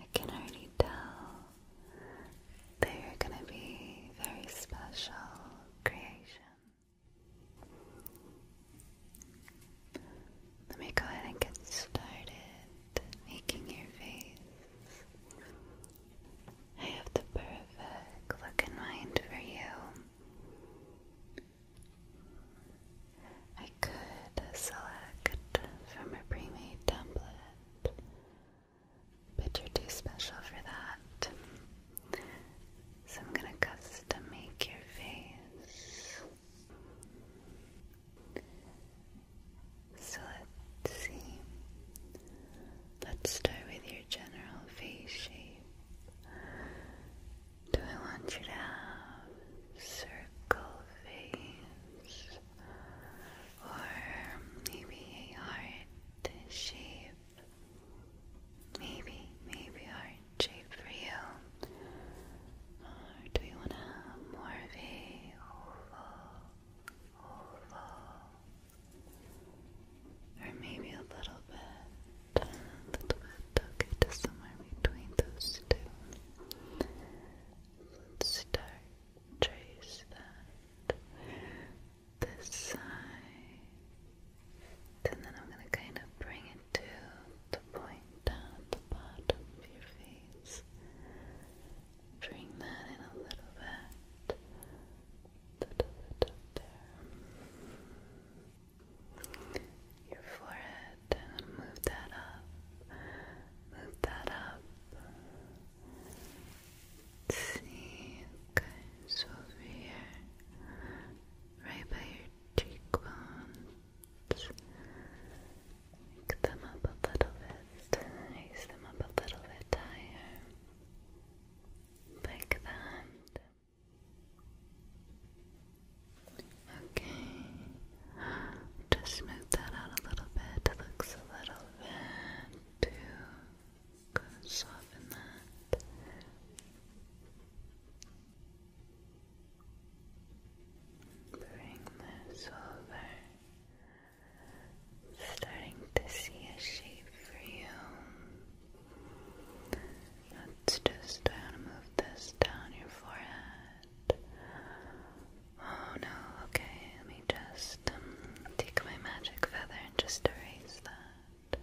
I can already tell they are going to be very special creations. Let me go ahead and get started making your face. I have the perfect look in mind for you. I could select from a pre-made template, but you're too special for that. So I'm gonna custom make your face. So let's see. Let's start with your general face shape. Do I want you to have circle face or maybe a heart shape? Maybe, maybe heart shape for you. do you want to have more of a oval, oval, or maybe a little bit a little bit, okay, just somewhere between those two. Let's start, trace that this side, and then I'm going to kind of bring it to the point down the bottom of your face. Bring that in a little bit. Little bit up there your forehead move that up, move that up. See, guys, over here, right by your cheekbones. Pick them up a little bit, raise them up a little bit higher. Like that. Okay, just smooth that out a little bit. looks a little bit too Soften that. Bring this over. Starting to see a shape for you. Let's just move this down your forehead. Oh no, okay, let me just um, take my magic feather and just erase that.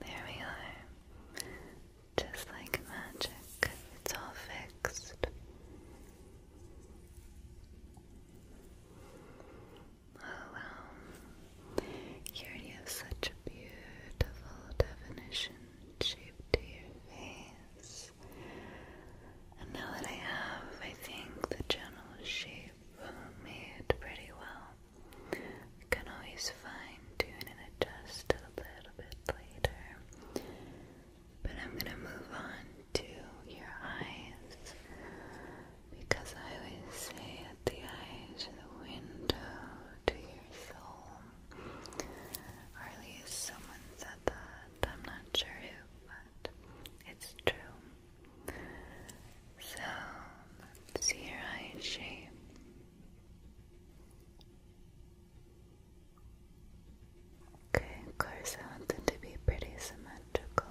There we are. Just like magic, it's all fixed. Oh Here you have such a beautiful definition shaped to your face. And now that I have, I think the general shape made pretty well. You can always fine tune and adjust a little bit later. But I'm going to move on to your eyes because I always say that the eyes are the window to your soul. at least someone said that. I'm not sure who, but it's true. So, see your eye shape. Okay, of course I want to be pretty symmetrical.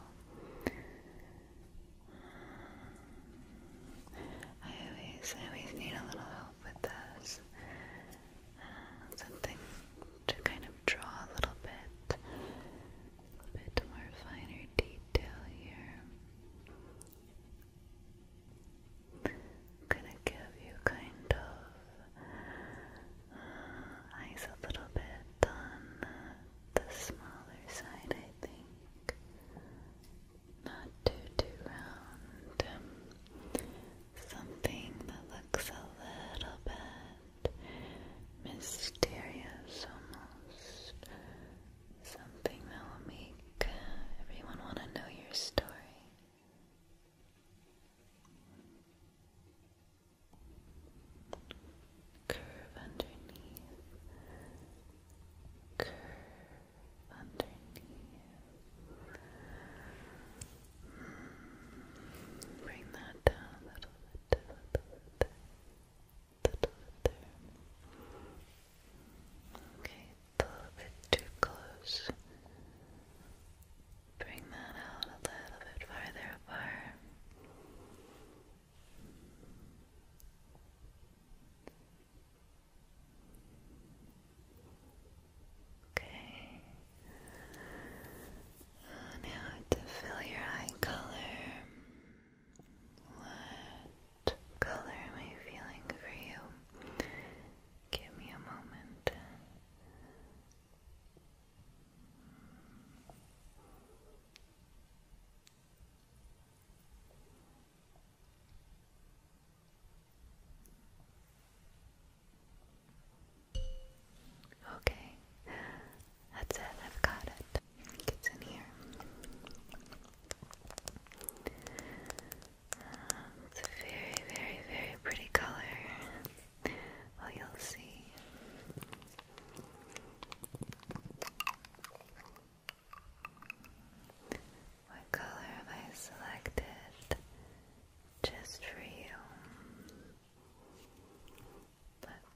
I always, I always need a little help with those. Uh, something to kind of draw a little bit, a bit more finer detail here. I'm gonna give you kind of uh, eyes a little bit on the, smaller side, I think. Not too too round. Um, something that looks a little bit mysterious almost. Something that will make everyone want to know your story. Curve underneath. Curve underneath. bring that down a little bit, a little bit there. Okay, a little bit too close. Bring that out a little bit farther apart. Okay. Now to fill your eye color. What color am I feeling for you? Give me a moment. Okay, that's it, I've got it. It's in here. It's a very, very, very pretty color. Oh, you'll see. What color have I selected just for you?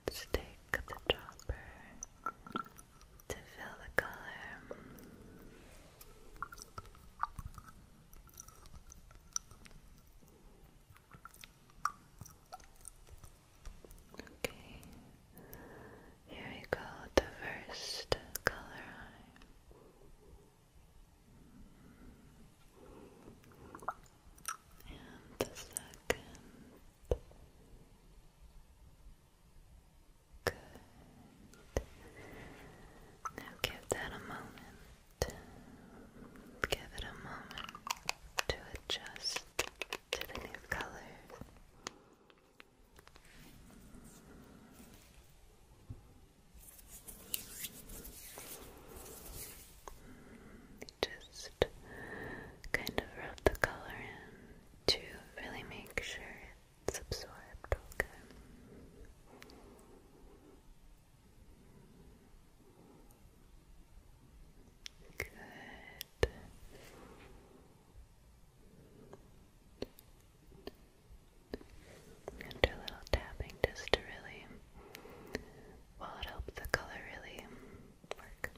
Let's take the dropper to fill the color. Okay, here we go, the first color And the second. Good. give that a moment. Give it a moment to adjust to the new colors. Just kind of rub the color in to really make sure it's okay. Good. do a little tapping just to really, well, it the color really work.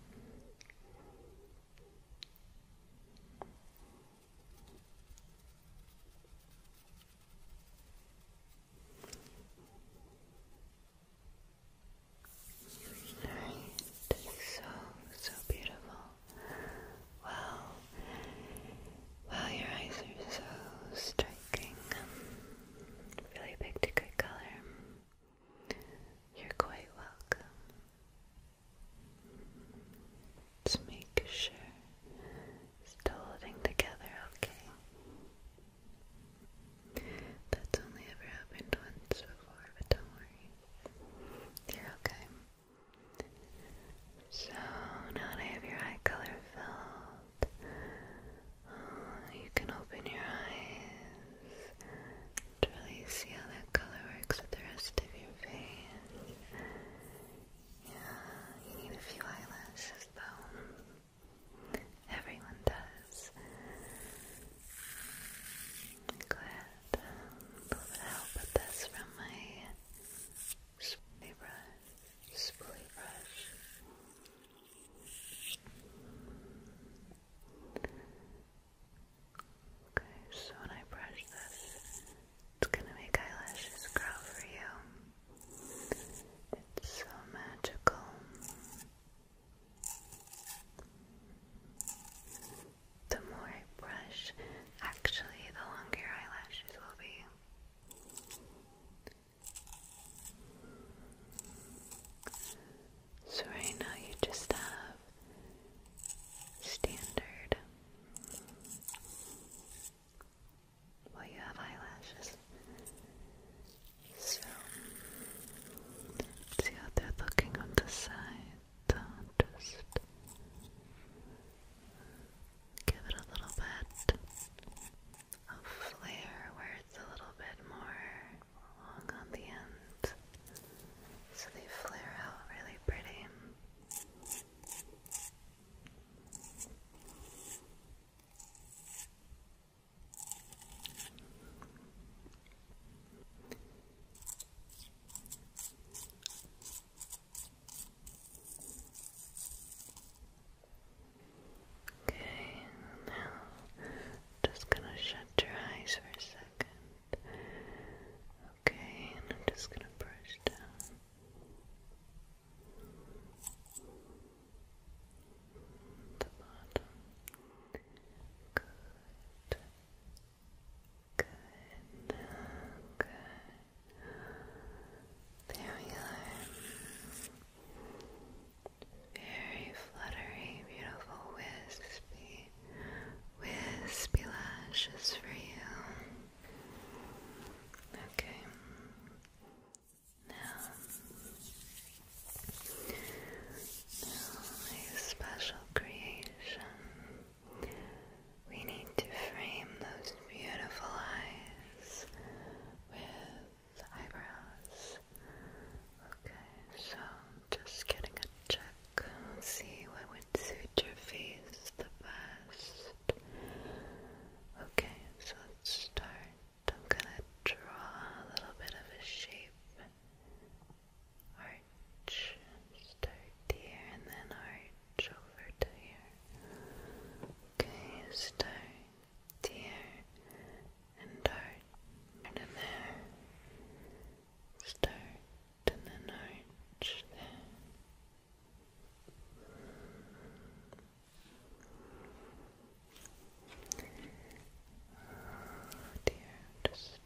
So, so beautiful. Wow. Wow, your eyes are so striking. Really picked a good color. You're quite welcome. let make sure it's holding together, okay? That's only ever happened once before, but don't worry. You're okay. So now that I have your eye color filled, uh, you can open your eyes to really see how that color works with the rest of your face. Yeah, you need a few eyelashes though. Everyone does. I'm a little help with this from my Spoolie brush. Okay, so when I brush this, it's gonna make eyelashes grow for you. It's so magical. The more I brush, actually, the longer your eyelashes will be. So right now you just have standard. Well, you have eyelashes. So see how they're looking on the side. just give it a little bit of flare where it's a little bit more long on the end, so they flare out really pretty. Okay, now just gonna shut your eyes for a second. Okay, and I'm just gonna brush down. The bottom. Good. Good. Good. There we go. Very fluttery, beautiful wispy wispy lashes for you. Okay. Now, a special creation. We need to frame those beautiful eyes with eyebrows. Okay, so just getting a check. See what would suit your face the best. Okay, so let's start. I'm gonna draw a little bit of a shape. Arch. Start here and then arch over to here. Okay, start here and dart in there. Start and then arch there. Just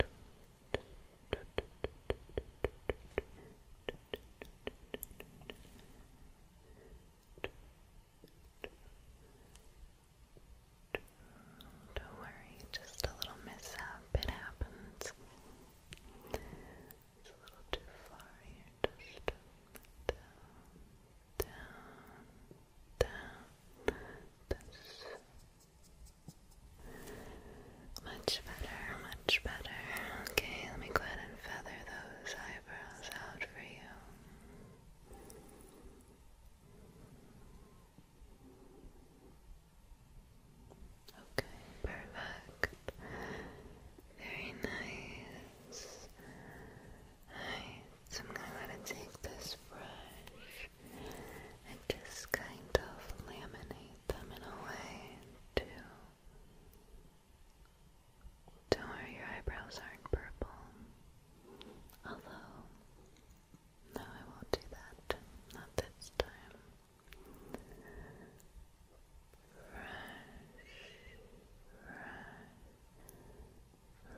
don't worry, just a little mishap. It happens. It's a little too far Just down, down, down. much better, much better. Okay, let me go ahead and feather those eyebrows out for you. Okay, perfect. Very nice. I'm going to take this brush and just kind of laminate them in a way to. Don't worry, your eyebrows aren't purple. Although, no, I won't do that. Not this time. Rush, rush, rush, rush,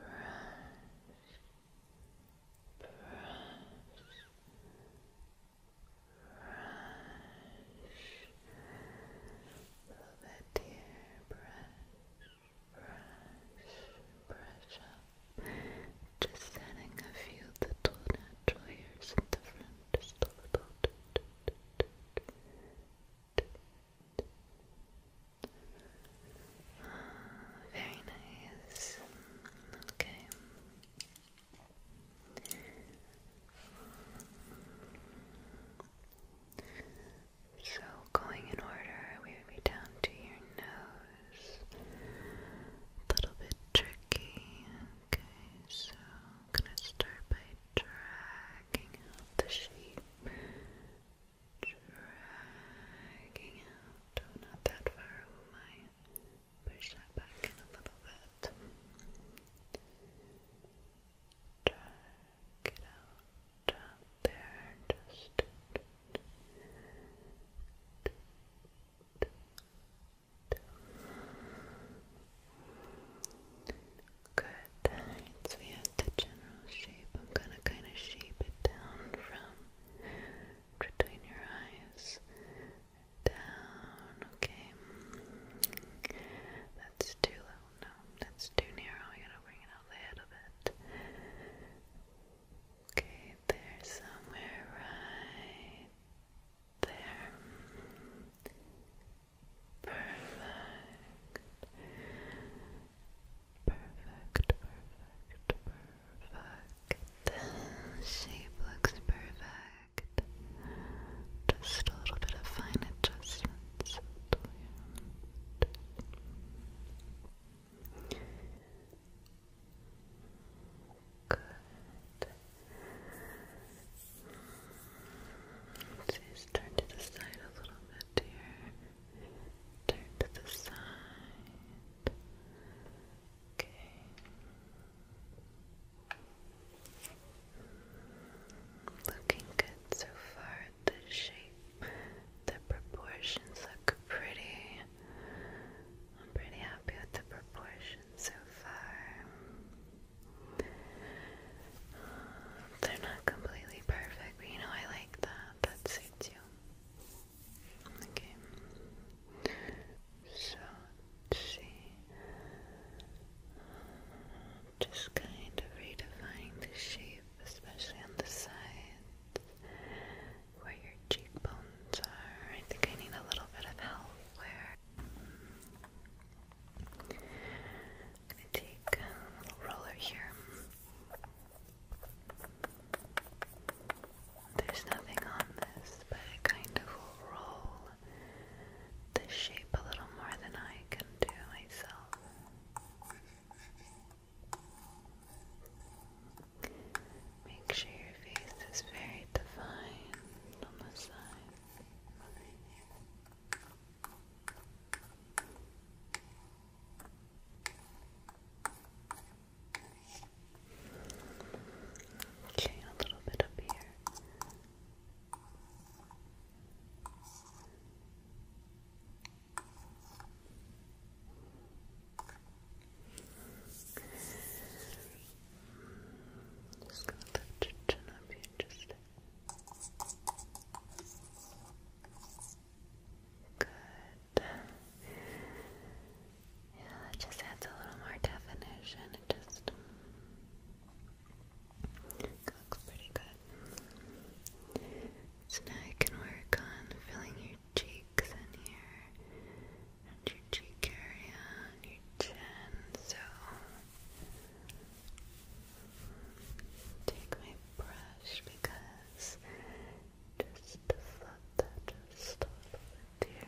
rush. Love it, dear brush brush, brush Just adding a few little natural hairs in the front, Very nice. Okay. So going in order, we would be down to your nose. A little bit tricky. Okay, so gonna start by dragging out the shape. Dragging out. Oh, not that far. Oh Push that back in a little bit. Drag it out up there, good. So we have the general shape. I'm gonna kind of shape it down from between your eyes down. Okay, that's too low. No, that's too narrow. I gotta bring it out the head bit. Okay, there somewhere right there. Perfect. Perfect, perfect, perfect. The shape looks perfect. Just a little bit of fine adjustments. Good. Let's just turn to the side a little bit here. Turn to the side. Okay. Looking good so far the shape, the proportions look pretty. I'm pretty happy with the proportions so far. they're not completely perfect, but you know I like that. That suits you. Okay. So see. Just kind of redefining the shape especially on the sides where your cheekbones are. I think I need a little bit of help where i take a roller here. There's nothing on this, but it kind of will roll the shape a little more than I can do myself. Make sure your face is very defined on the side. Okay, a little bit up here. Just gonna lift your chin up here just good. Yeah, that just adds a little more definition. It just looks pretty good. So now I can work on filling your cheeks and your, and your cheek area your chin. So take my brush because just to that just a little bit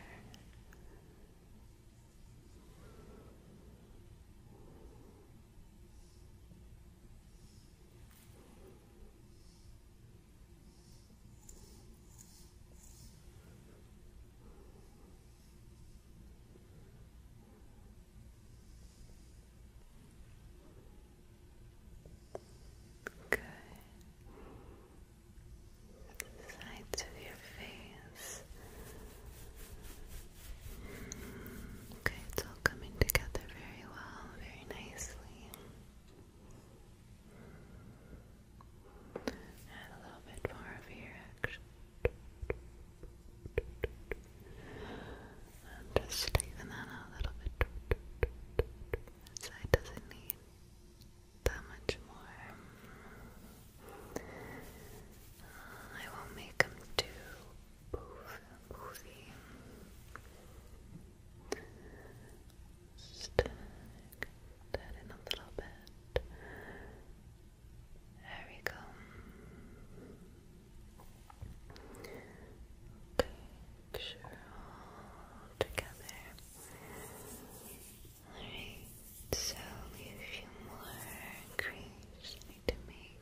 Good. The sides of your face. Okay, it's all coming together very well, very nicely. Add a little bit more of your action. just straighten that a little bit. That side doesn't need that much more. Uh, I won't make them too movie. Stick that in a little There we go. Okay, all together. Alright, so a few more crease to make.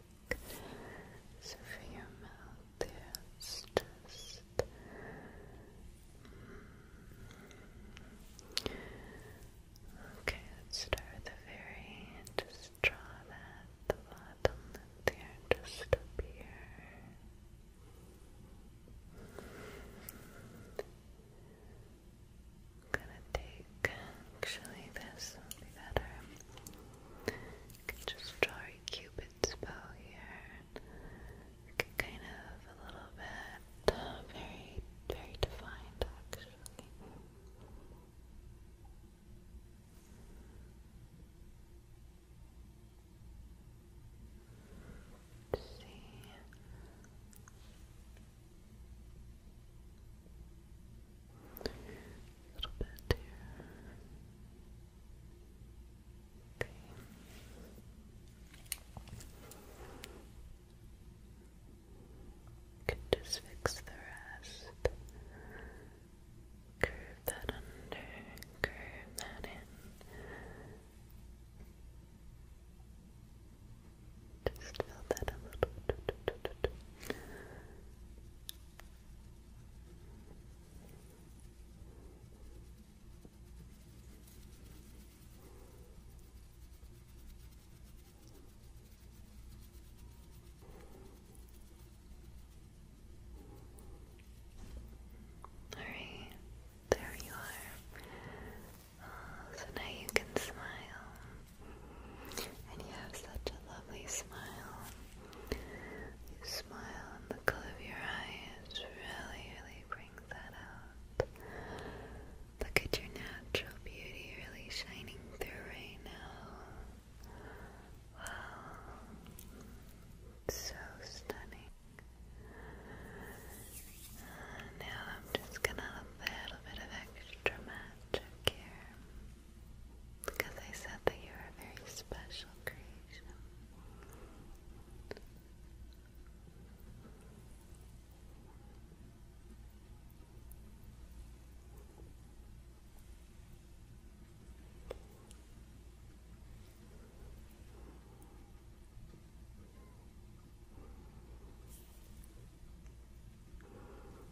So for your mouth just Okay, start with the very just draw that the bottom lip there just up here. gonna take actually this will be better. You can just draw your cupid's bow here. kind of a little bit, very, very defined actually. see little bit here. Okay. Can just fix the rest. Curve that under, curve that in. Just fill that a little. Alright, there you are. Uh, so now you can smile. And you have such a lovely smile. You smile, and the color of your eyes really, really brings that out. Look at your natural beauty really shining through right now. Wow. So stunning. Uh, now I'm just gonna add a little bit of extra magic here. Because I said that you are a very special creation.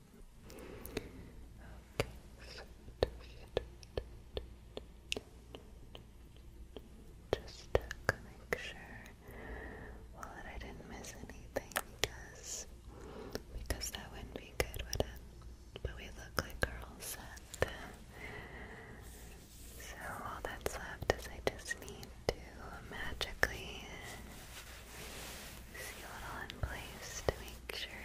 Okay, so just to make sure, that I didn't miss anything because because that wouldn't be good, would it? But we look like we So all that's left is I just need to magically seal it all in place to make sure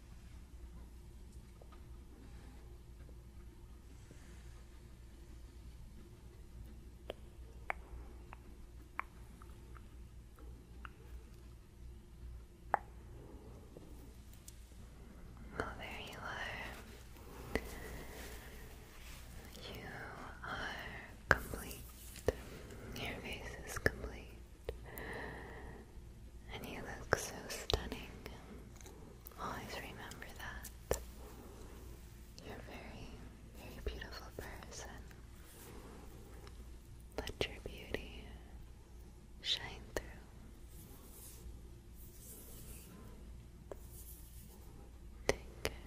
Oh, you You are complete. Your face is complete. And you look so stunning. Always remember that. You're a very, very beautiful person. Let your beauty shine through. Take care.